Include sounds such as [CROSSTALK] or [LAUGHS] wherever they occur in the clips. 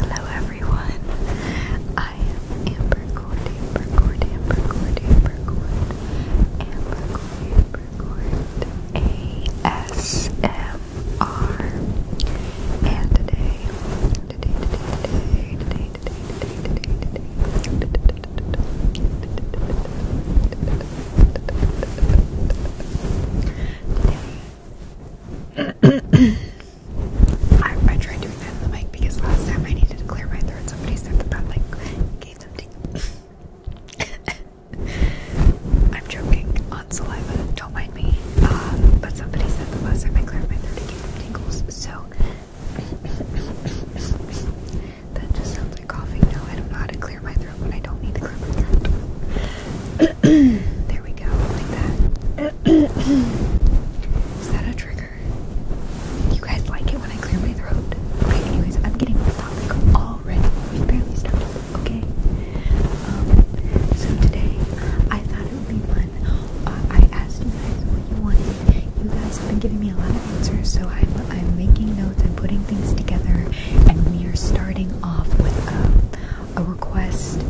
Hello everyone. I am Amber Cord, Amber Cord, Amber Cord, Amber Cord, Amber Cord, ASMR. And today I, tried doing that in the mic because last time I needed to clear my throat. Somebody said that that like [LAUGHS] I'm joking on saliva. Don't mind mind but um, somebody said the last time I cleared my throat, gave them tingles, so that just sounds like coughing now. I don't know how to clear my throat when I don't need to clear my throat. there we go, like that. Is that a trigger? You guys like it when I clear my throat? Okay, anyways, I'm getting off topic already. We barely started, okay? Um, so today, I thought it would be fun uh, I asked you guys what you wanted. You guys have been giving me a lot of answers, so I'm I'm making notes. I'm putting things together, and we are starting off with um, a, request.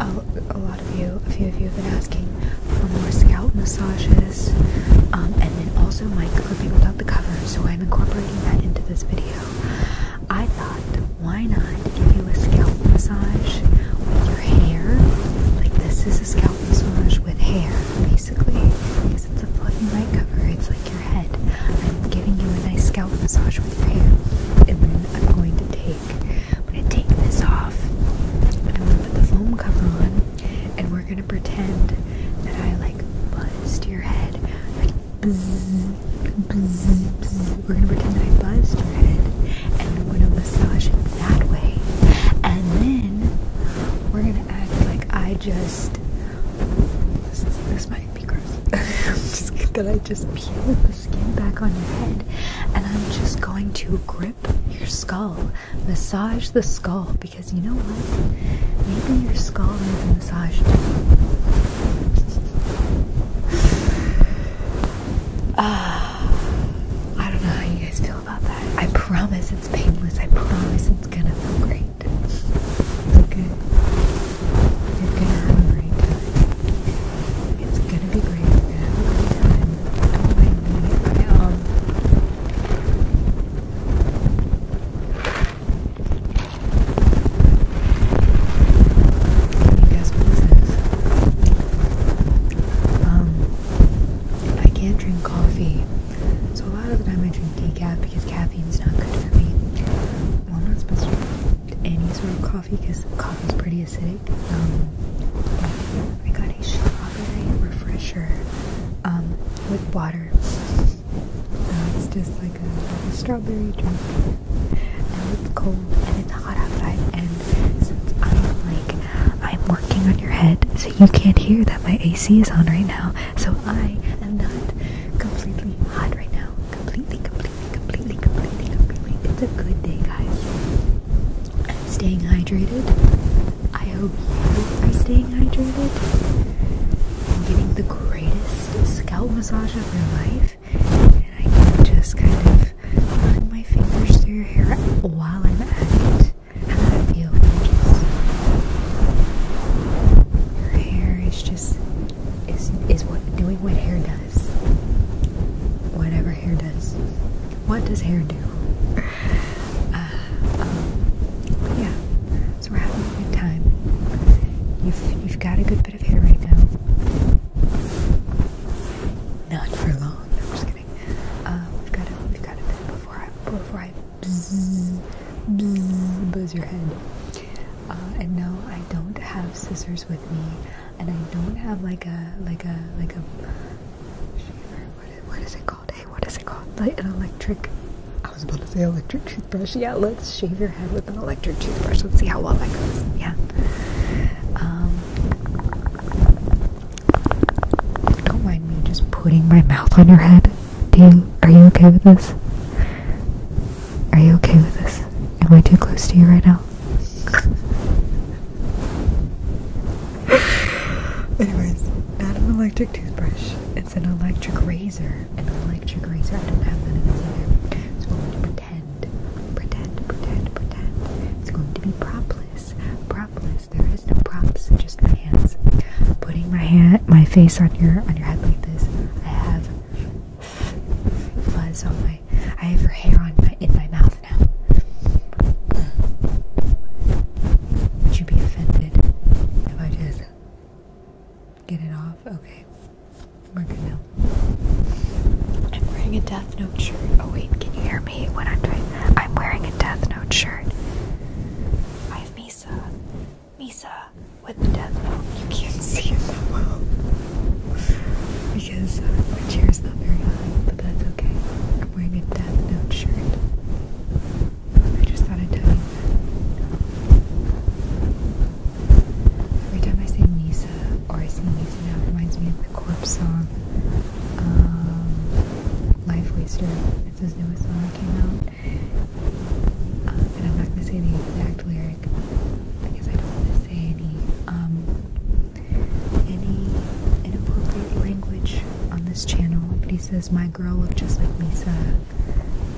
A, lot of you, a few of you, have been asking for more scalp massages, um, and then also Mike revealed without the cover, so I'm incorporating that into this video. I thought why not give you a scalp massage with your hair? Like this is a scalp massage with hair, basically, because it's a flooding light cover. It's like your head. I'm giving you a nice scalp massage with your hair, and then I'm going to take. I'm gonna take this off, and I'm gonna put the foam cover on, and we're gonna pretend that I like buzzed your head, we're gonna pretend I buzzed your head and we're gonna massage it that way. And then we're gonna act like I just this might be gross. [LAUGHS] that I just peeled the skin back on your head and I'm just going to grip your skull. Massage the skull because you know what? Maybe your skull needs a massage too. Ah. I don't know how you guys feel about that. I promise it's painless. I promise it's gonna feel great. It's okay. You're gonna have a great time. It's gonna be great. you gonna have a great time. Don't mind me guess what Um, I can't drink coffee, so a lot of the time I drink decaf because caffeine's not good for me. I'm not supposed to drink any sort of coffee because coffee's pretty acidic. Um, I got a strawberry refresher um, with water. it's just like a strawberry drink and it's cold and it's hot outside and since I'm like I'm working on your head so you can't hear that my AC is on right now so I am not completely hot right now completely completely completely completely completely it's a good day guys I'm staying hydrated I hope you are staying hydrated I'm getting the greatest scalp massage of your life and I can just kind of run my fingers through your hair while I'm at it. How does feel? Gorgeous. Your hair is just is is what doing what hair does. Whatever hair does. What does hair do? Uh, um, but yeah, so we're having a good time. You've you've got a good good bit of hair right now. Not for long. No, I'm just kidding. Uh, we've got a we've got a bit before I before I bzz, bzz, buzz your head. Uh, and no, I don't have scissors with me, and I don't have like a like a like a shaver. What is, what is it called? Hey, what is it called? Like an electric. I was about to say electric toothbrush. Yeah, let's shave your head with an electric toothbrush. Let's see how well that goes. Yeah. Um, don't mind me just putting my mouth on your head. Do you? Are you okay with this? Are you okay with this? Am I too close to you right now? [SIGHS] Anyways, not an electric toothbrush. It's an electric razor. An electric razor. I don't have that in either. So pretend, pretend, pretend, pretend. It's going to be propless, propless. There is no props, just my hands. Putting my hand, my face on your on your head like this. I have fuzz on my. I have your hair on my in my mouth now. Would you be offended if I just? Get it off? Okay. we I'm wearing a Death Note shirt. Oh wait, can you hear me when I'm doing I'm wearing a Death Note shirt. I have Misa. Misa with the Death Note. You can't see it that well. Because my chair is not very high, but that's okay. I'm wearing a Death Note shirt. I just thought I'd Every time I say Misa or I see Misa now, it reminds me of the Corpse song, um, Life Waster. It's his newest song that came out. Um, and I'm not gonna say the exact lyric because I don't want to say any um, any inappropriate language on this channel. But he says, "My girl looked just like Misa."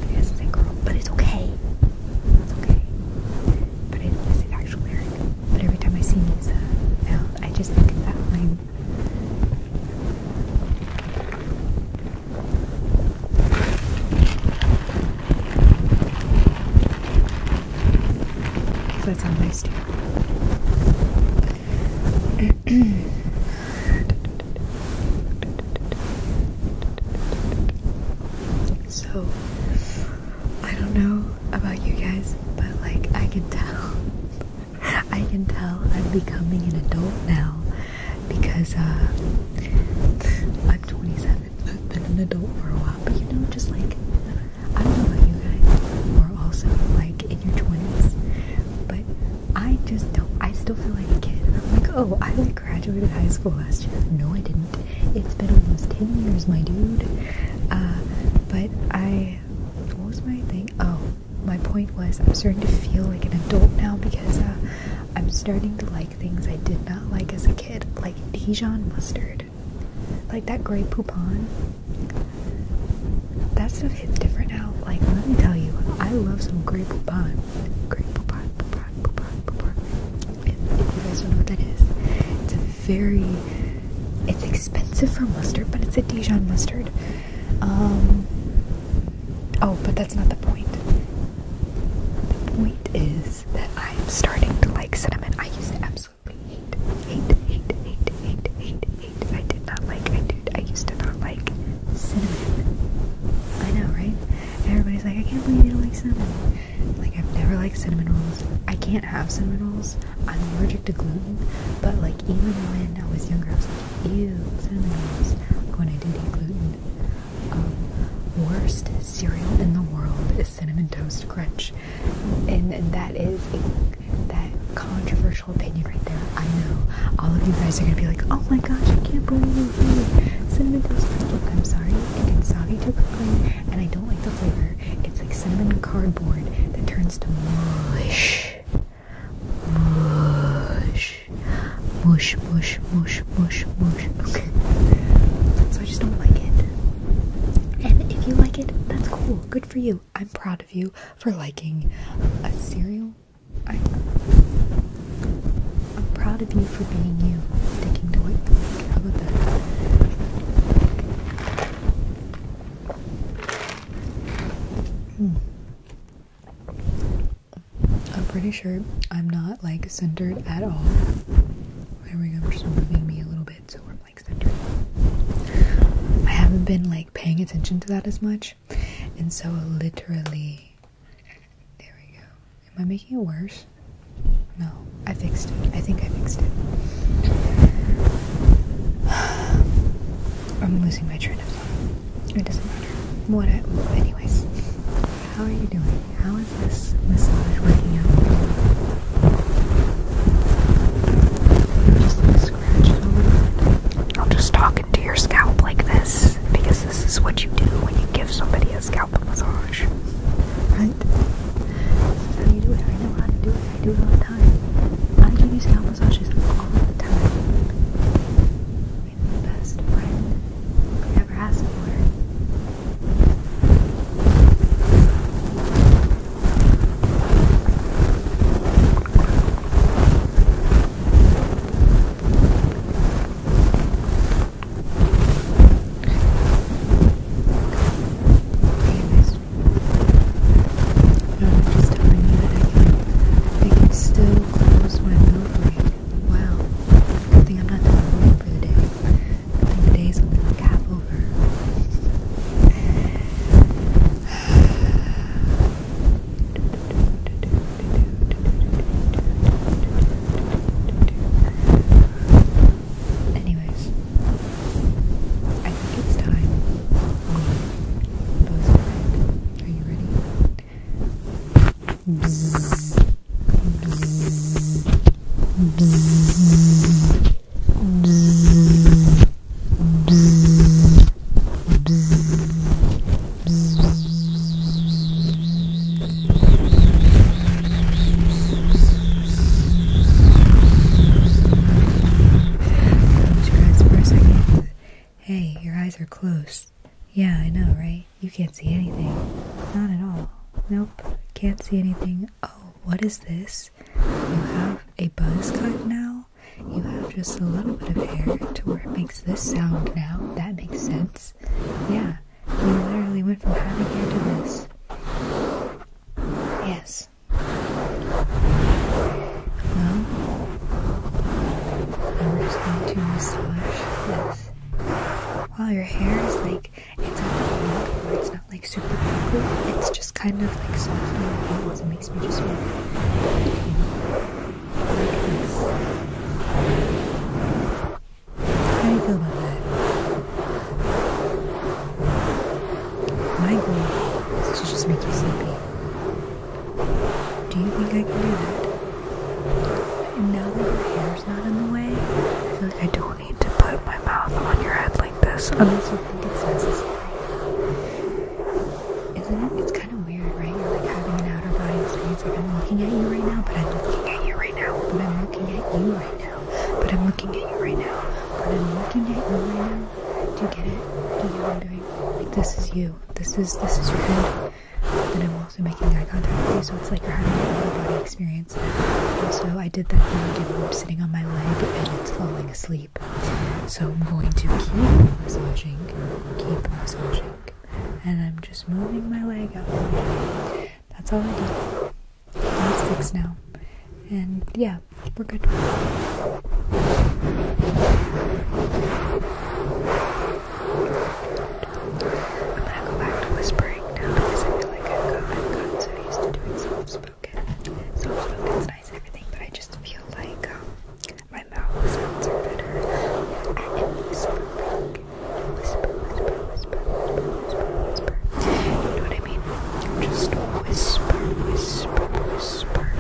He doesn't girl, but it's okay. It's okay but I didn't this But every time I see Misa I just think of that line. That's how nice too. So I don't know about you guys, but like I can tell [LAUGHS] I can tell I'm becoming an adult now because uh, I'm 27. I've been an adult for a while, but you know just like I don't know about you guys are also like in your 20s, but I just don't I still feel like a kid. I'm like, "Oh, I like I graduated high school last year. No, I didn't. It's been almost 10 years, my dude. Uh, but I. What was my thing? Oh, my point was I'm starting to feel like an adult now because uh, I'm starting to like things I did not like as a kid, like Dijon mustard. Like that gray poupon. That stuff hits different now. Like, let me tell you, I love some gray poupon. Gray poupon if, you guys don't know what that is. It's a very, it's expensive for mustard, but it's a Dijon mustard. Um, oh, but that's not the point. The point is that I'm starting to like cinnamon. I used to absolutely hate, hate, hate, hate, hate, hate, hate. I did not like, I did, I used to not like cinnamon. I know, right? Everybody's like, I can't believe you don't like cinnamon. Like, I've never liked cinnamon rolls. I can't have cinnamon rolls. I'm allergic to gluten. But, like, even when I was younger, I was like, ew, cinnamon rolls. when I did eat gluten. Um, worst cereal in the world is Cinnamon Toast Crunch. And, that is a, that controversial opinion right there. I know. All of you guys are going to be like, oh my gosh, I can't believe you. eat Cinnamon Toast Crunch. I'm sorry. It's soggy too quickly, and I don't like the flavor. It's like cinnamon cardboard that turns to mush. Mush. Mush, mush, mush, mush, Okay. So I just don't like it. And if you like it, that's cool. Good for you. I'm proud of you for liking a cereal. I'm proud of you for being you, taking to work. How about that? Hmm. I'm pretty sure I'm not like centered at all. There we go, we're just moving me a little bit so I'm like centered. I haven't been like paying attention to that as much, and so literally there we go. Am I making it worse? No, I fixed it. I think I fixed it. [SIGHS] I'm losing my train of thought. It doesn't matter. What I, anyways. How are you doing? How is this massage working out? Just like scratch it I'll just talk into your scalp like this because this is what you do when you give somebody scalp massage, right? This is how you do it. I know how to do it. I do it all the time. I give you scalp massages all the time. I'm the best friend you ever ask for. I'm just telling you that I can, I can still close my milk break. Wow. Good thing I'm not done over for the day. Good thing the day's only like half over. Anyways, I think it's time we both bed. Are you ready? Close for a second. Hey, your eyes are closed. Yeah, I know, right? You can't see anything. Not at all. Nope, can't see anything. Oh, what is this? You have a buzz cut now? You have just a little bit of hair to where it makes this sound now. That makes sense. Yeah, you literally went from having hair to this. Yes. Well, I'm just going to massage this. Wow, your hair is like, it's not like it's not like super prickly. It's just kind of like soft and it makes me just feel, how do you feel about that? My goal is to just make you sleepy. Do you think I can do that? And now that your hair's not in the way, I feel like I don't need to put my mouth on your head like this unless you think it's necessary. Isn't it? kind of weird, right? You're like having an outer body experience. Like I'm looking at you right now, but I'm looking at you right now. But I'm looking at you right now. But I'm looking at you right now. But I'm looking at you right now. Do you get it? Do you know what I'm doing? Like this is you. This is this is your head. and I'm also making eye contact with you, so it's like you're having an outer body experience. Also, I did that thing again I'm sitting on my leg and it's falling asleep. So I'm going to keep massaging, keep massaging and I'm just moving my leg up. That's all I do. That's fixed now. And yeah, we're good. I'm gonna go back to whispering now because I feel like I've gotten, so used to doing soft spoken. Soft spoken's nice and everything, but I just feel like um, my mouth was sponsored her at a whispering. Whisper, whisper, whisper, whisper, whisper, whisper.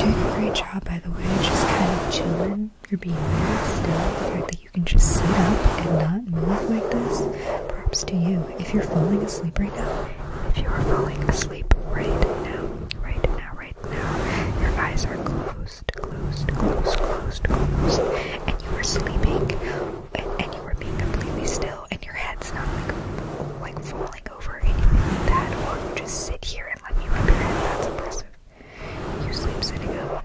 You know what I mean? Just whisper, whisper, whisper. You're doing a great job, by the way. Just kind of chilling. You're being very still. The fact that you can just sit up and not move like this, props to you if you're falling asleep right now, if you are falling asleep right now, right now, right now, your eyes are closed, closed, closed, closed, closed, and you are sleeping, and, you are being completely still, and your head's not like, like falling over, and you're or you just sit here and let me rub that's impressive. You sleep sitting up.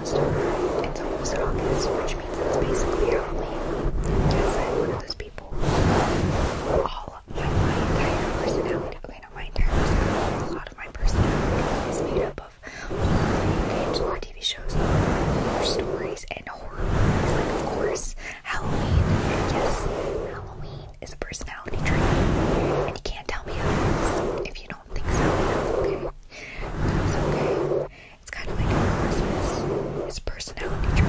it's almost August, which means it's basically Halloween. Yes, I'm one of those people. All my, my entire personality, okay, not my entire personality, a lot of my personality is made up of horror games, horror TV shows, horror stories, and horror movies. Like, of course, Halloween. Yes, Halloween is a personality trait, and you can't tell me otherwise if you don't think so. It's kind of like Christmas. It's personality trait.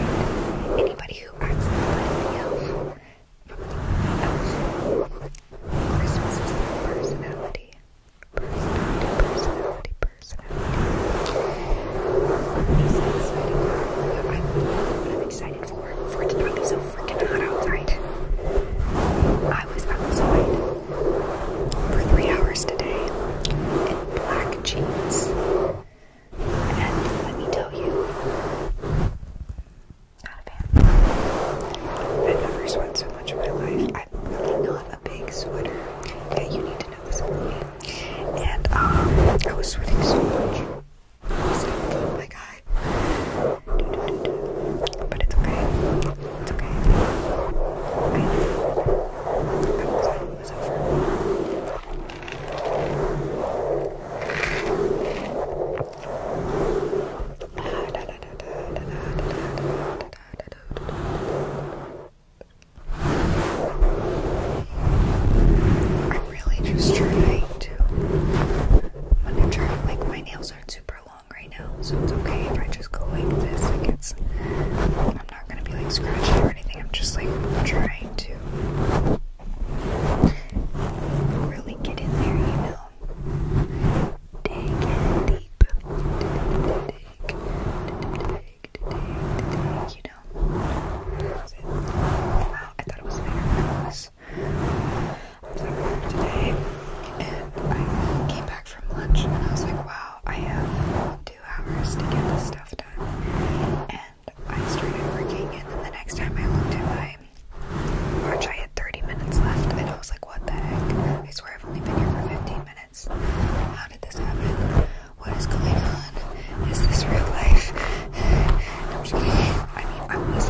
Anybody who acts like anybody else from Christmas is their personality. Personality, personality, personality. i I'm, excited for, for it to not be so freaking hot outside. I was outside for three hours today in black jeans. And let me tell you, not a fan. I've never sweat so much in my life. I'm really not a big sweater. Yeah, you need to know this And um, I was sweating so much. oh my god. But it's okay. It's okay. I know. I was over. I'm really just trying to when I'm trying like my nails aren't super long right now, so it's okay if I just go like this. Like it's, I'm not gonna be like scratching or anything. I'm just like trying to really get in there, you know. Dig deep. Dig, dig, dig, dig, dig, you know. Wow, I thought it was better than I was at work today and I came back from lunch and I was like, wow, I have two hours to get this stuff done. And I started working and then the next time I looked at my watch, I had 30 minutes left and I was like, what the heck? I swear I've only been here for 15 minutes. How did this happen? What is going on? Is this real life? [LAUGHS] I'm just kidding. I mean, I was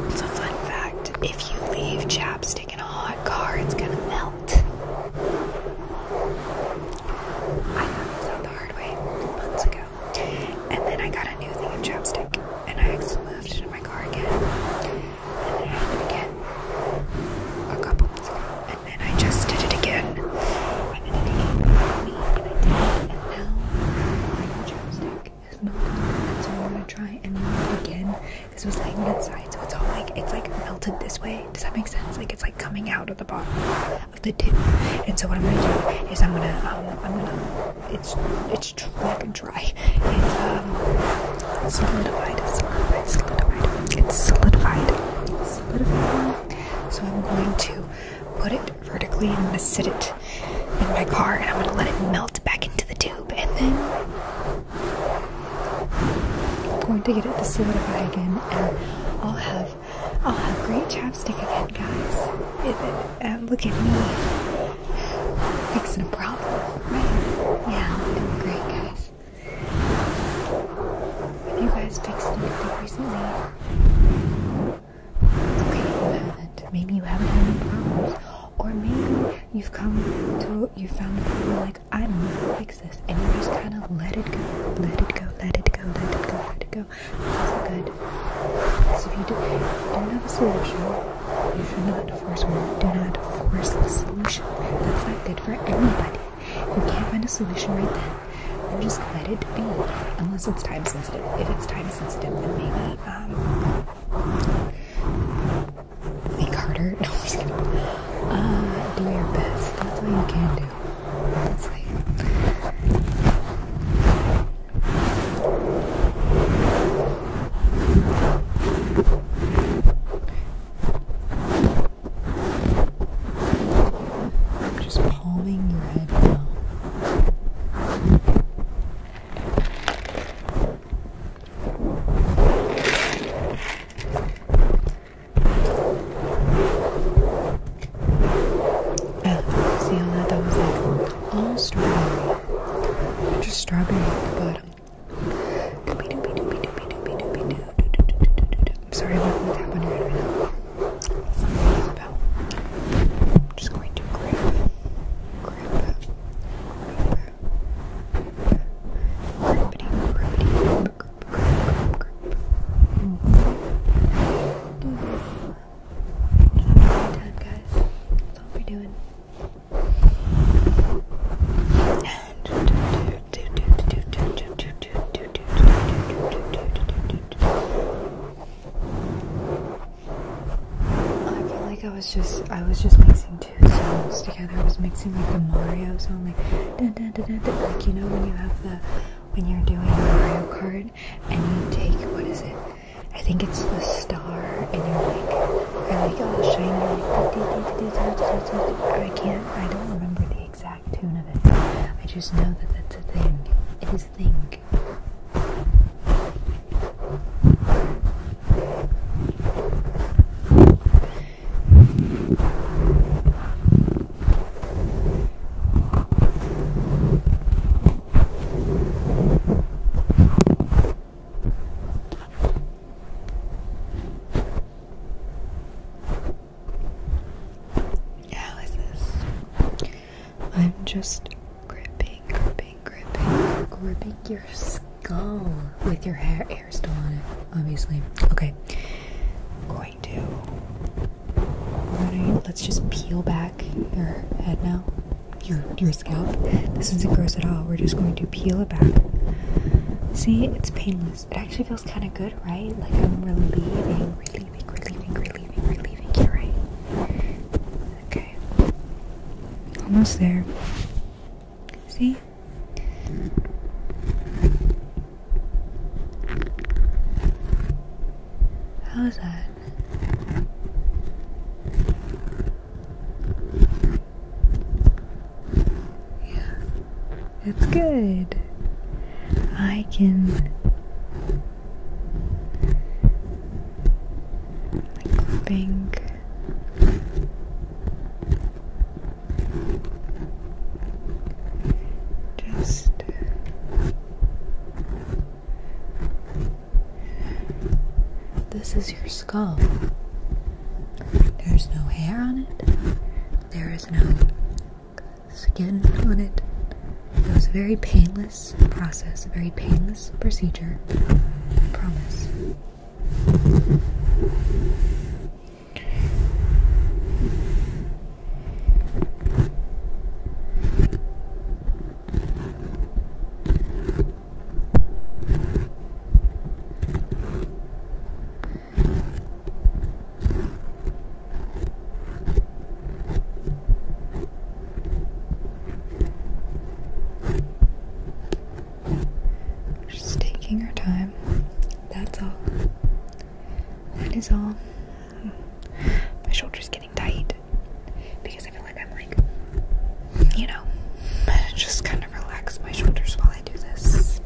It's a fun fact. If you leave chapstick in a hot car, it's gonna melt. I found this the hard way months ago. And then I got a new thing of chapstick. And I actually moved it in my car again. And then it again a couple months ago. And then I just did it again identity me and now my chapstick is melted. So I'm gonna try and melt it again. This was laying inside, so it's all like it's like melted this way. Does that make sense? Like it's like coming out of the bottom of the tip. And so what I'm gonna do is I'm gonna um I'm gonna it's it's like dry. It's um solidified, solidified, solidified. It's solidified. Solidified. So I'm going to put it vertically, and I'm gonna sit it in my car, and I'm gonna let it melt back into the tube, and then I'm going to get it to solidify again, and I'll have I'll have great chapstick again, guys. Um, look at me fixing a problem, right? Yeah, doing great, guys. Have you guys fixed anything recently? Okay, that maybe you haven't had any problems, or maybe you've come to you found a problem like I don't know to fix this, and you just kind of let it go, let it go, let it go, let it go, let it go. That's not good. Because if you do, not have a solution, you should not force one. Do not force the solution. That's not good for anybody. You can't find a solution right then. Then just let it be, unless it's time sensitive. If it's time sensitive, then maybe um, think harder. [LAUGHS] No, I'm just kidding. Uh, do your best. That's all you can do. That's I'm just palming your head now. see how that, that was like all strawberry. Just strawberry at the bottom. I'm sorry, I wouldn't tap on your head right now. That's not what it's about. I'm just going to grip, grip, grip. Grippity, grippity, grip, grip, grip, grip. Mm. Mm. Just having a good time, guys. That's all we're doing. And do do do do do do do do do I feel like I was just I was just mixing two songs together. I was mixing like the Mario song, like like you know when you have the when you're doing Mario card and you take what is it? I think it's the star and you're like I like all oh, shiny like I can't I don't remember the exact I just know that that's a thing. It is a thing. How is I'm just gripping, gripping, gripping, gripping your skull with your hair, still on it, obviously. Okay, I'm Gonna, let's just peel back your head now, your your scalp. This isn't gross at all. We're just going to peel it back. See, it's painless. It actually feels kind of good, right? Like I'm relieving, relieving, relieving, relieving, relieving you, right? Okay. Almost there. See? How is that? Yeah. It's good. I can think just this is your skull. There's no hair on it. There is no skin on it. It was a very painless process, a very painless procedure. I promise. Just taking our time. That's all. That is all. My shoulder's getting tight because I feel like I'm like, you know, [LAUGHS] just kind of relax my shoulders while I do this.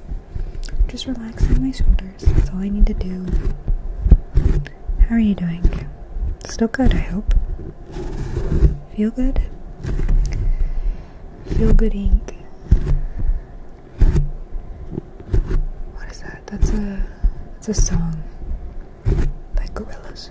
Just relaxing my shoulders. That's all I need to do. How are you doing? Still good, I hope. Feel good? Feel good ink. What is that? That's a that's a song by Gorillaz.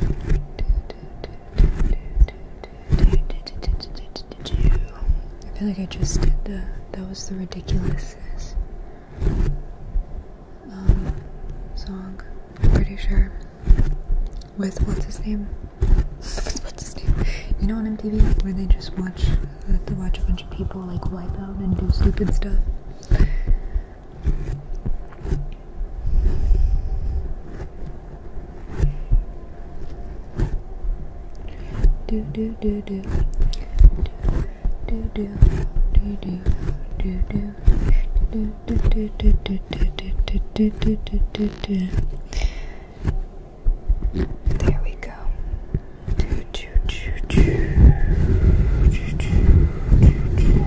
I feel like I just did the. That was the ridiculousness um, song. I'm pretty sure. With what's his name? [LAUGHS] what's his name? You know on MTV where they just watch, they watch a bunch of people like wipe out and do stupid stuff. Do do do do. Do do do do do do. Do do do do do do do do do do. There we go. Do do do do do do do.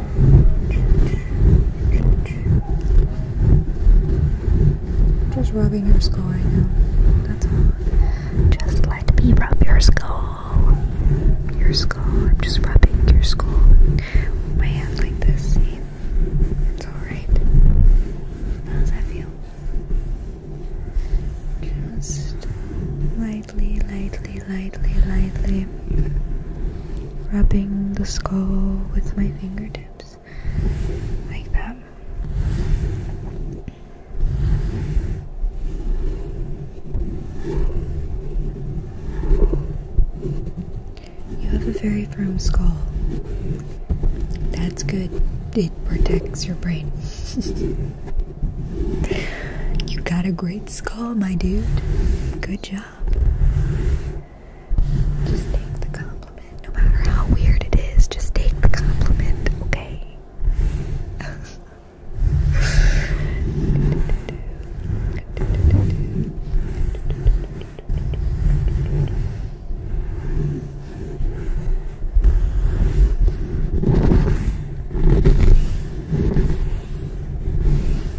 Just rubbing your skull right now. That's all. Just let me rub your skull. Your skull. I'm just rubbing your skull. my hand like this. See? It's alright. How does that feel? Just lightly, lightly, lightly, lightly. Wrapping the skull with my fingertips like that. You have a very firm skull. That's good. It protects your brain. [LAUGHS] you got a great skull, my dude. Good job. Just take the compliment, no matter how weird it is. Just take the compliment, okay?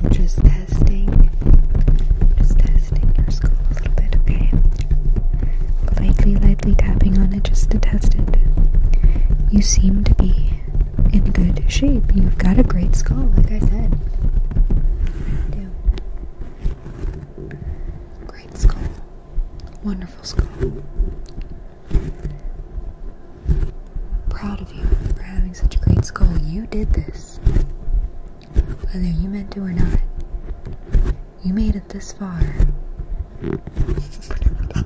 I'm just testing, just testing your skull a little bit, okay? Lightly, lightly tapping on it just to test it. You seem to be in good shape. You've got a great skull, like I said. do. Great skull. Wonderful skull. Proud of you for having such a great skull. You did this. Whether you meant to or not, you made it this far. Whatever that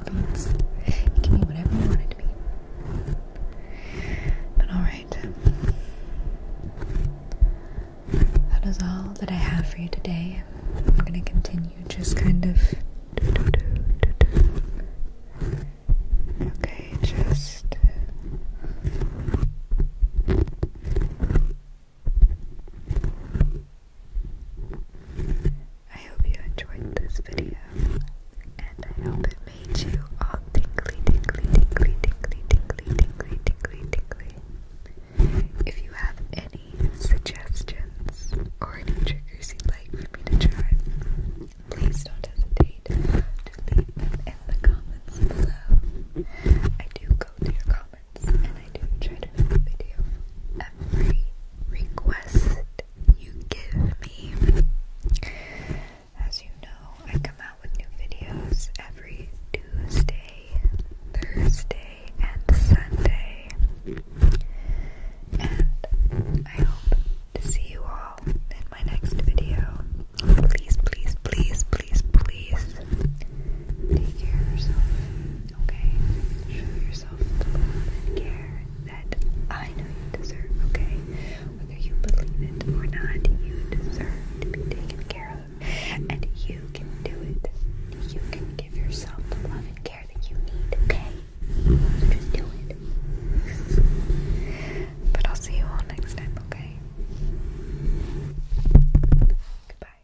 whatever you want to be. But alright. That is all that I have for you today. I'm gonna continue just kind of Okay, just I hope you enjoyed this video and I hope it made you all tingly, tingly, tingly, tingly, tingly, tingly, tingly, tingly. If you have any suggestions, or any triggers you'd like for me to try, please don't hesitate to leave them in the comments below. I do go through your comments and I do try to make a video every request you give me. As you know, I come out with new videos every Tuesday, Thursday and Sunday. And I hope to see you all in my next video. Please, please, please, please, please take care of yourself, okay? Show yourself the love and care that I know you deserve, okay? Whether you believe it or not, you deserve to be taken care of. And you can do it. You can give yourself the love and care okay? Just do it. But I'll see you all next time, okay? Goodbye.